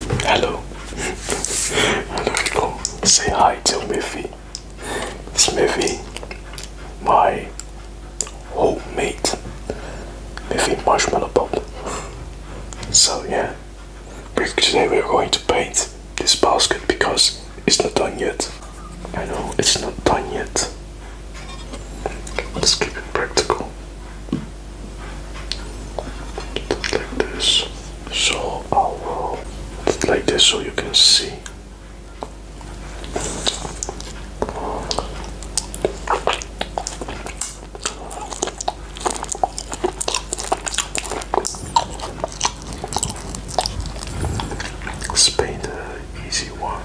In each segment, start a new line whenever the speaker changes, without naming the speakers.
Hello. Hello, Say hi to Miffy. Smithy, my old mate. Miffy Marshmallow Bob. So yeah, today we are going to paint this basket because it's not done yet. I know it's not done yet. Let's keep it practical like this so I'll like this so you can see Spain the easy one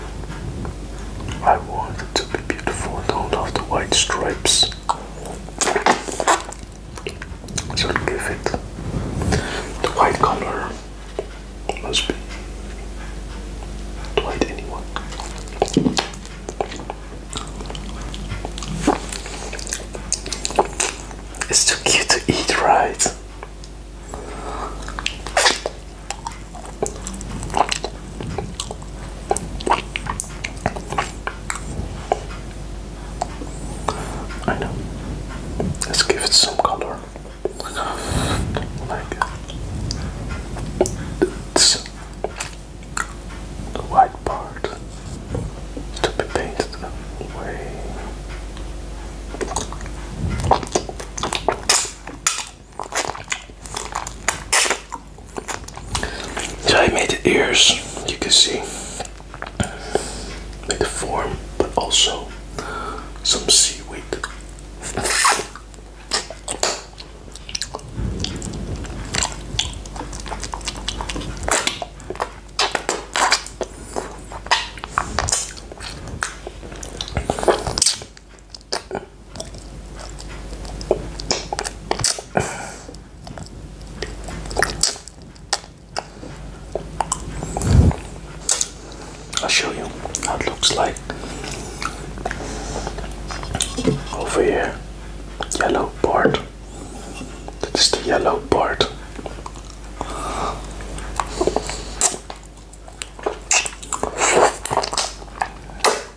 I want it to be beautiful don't have the white stripes so give it the white color must be white anyone. It's too cute to eat, right? I know. Let's give it some color. Like this. white part to be painted I made the ears, you can see, made the form, but also some seaweed. I'll show you how it looks like over here. Yellow part. That is the yellow part.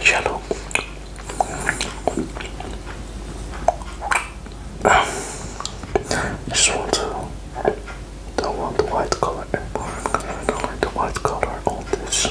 Jello. I just want to. Don't want the white color. I don't like the white color on this.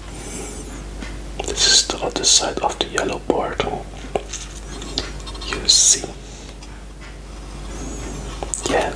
This is the other side of the yellow portal. You see. Yeah.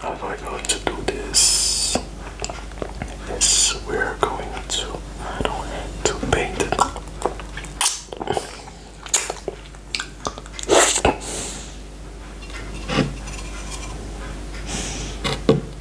How am I going to do this. This we're going to. I don't have to paint it.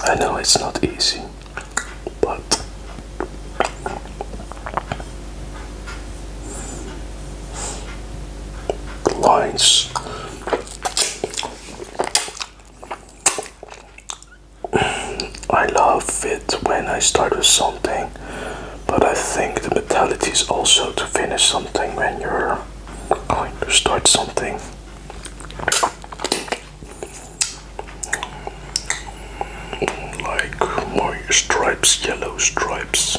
I know it's not easy, but lines I love it when I start with something but I think the mentality is also to finish something when you're going to start something. Like more stripes, yellow stripes.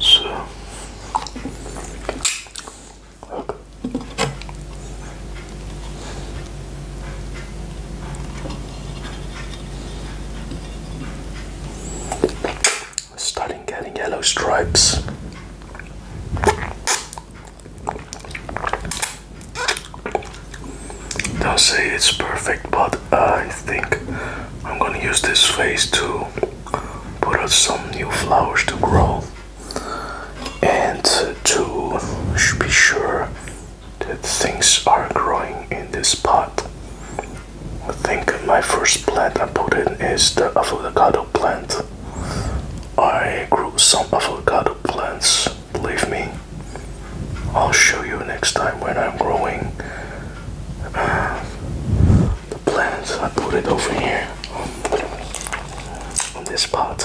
So, We're starting getting yellow stripes don't say it's perfect, but I think I'm gonna use this face to put out some new flowers to grow and to be sure that things are growing in this pot. I think my first plant I put in is the avocado plant. I grew some avocado plants believe me. I'll show you next time when I'm growing the plants. I put it over here on this pot.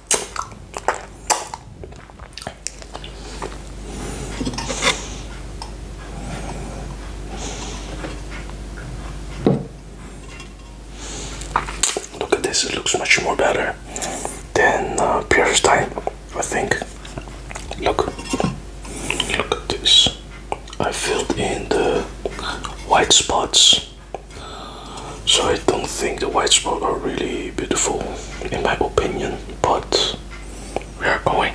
Look at this, it looks much more better than uh, previous time, I think. Look, look at this. I filled in the white spots, so I don't think the white spots are really beautiful in my opinion, but we are going.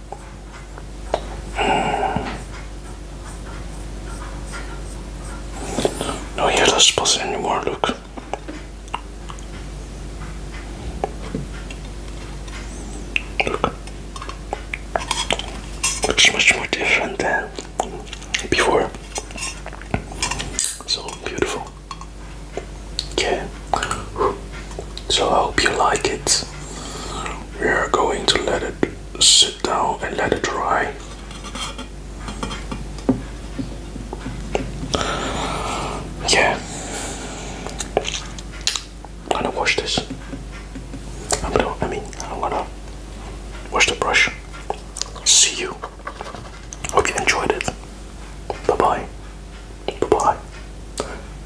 No yellow spots anymore, look. looks much more different than before. So beautiful. Okay. So I hope you like it we are going to let it sit down and let it dry. Yeah. I'm gonna wash this. I'm gonna, I mean, I'm gonna wash the brush. See you. Hope you enjoyed it. Bye bye. Bye bye.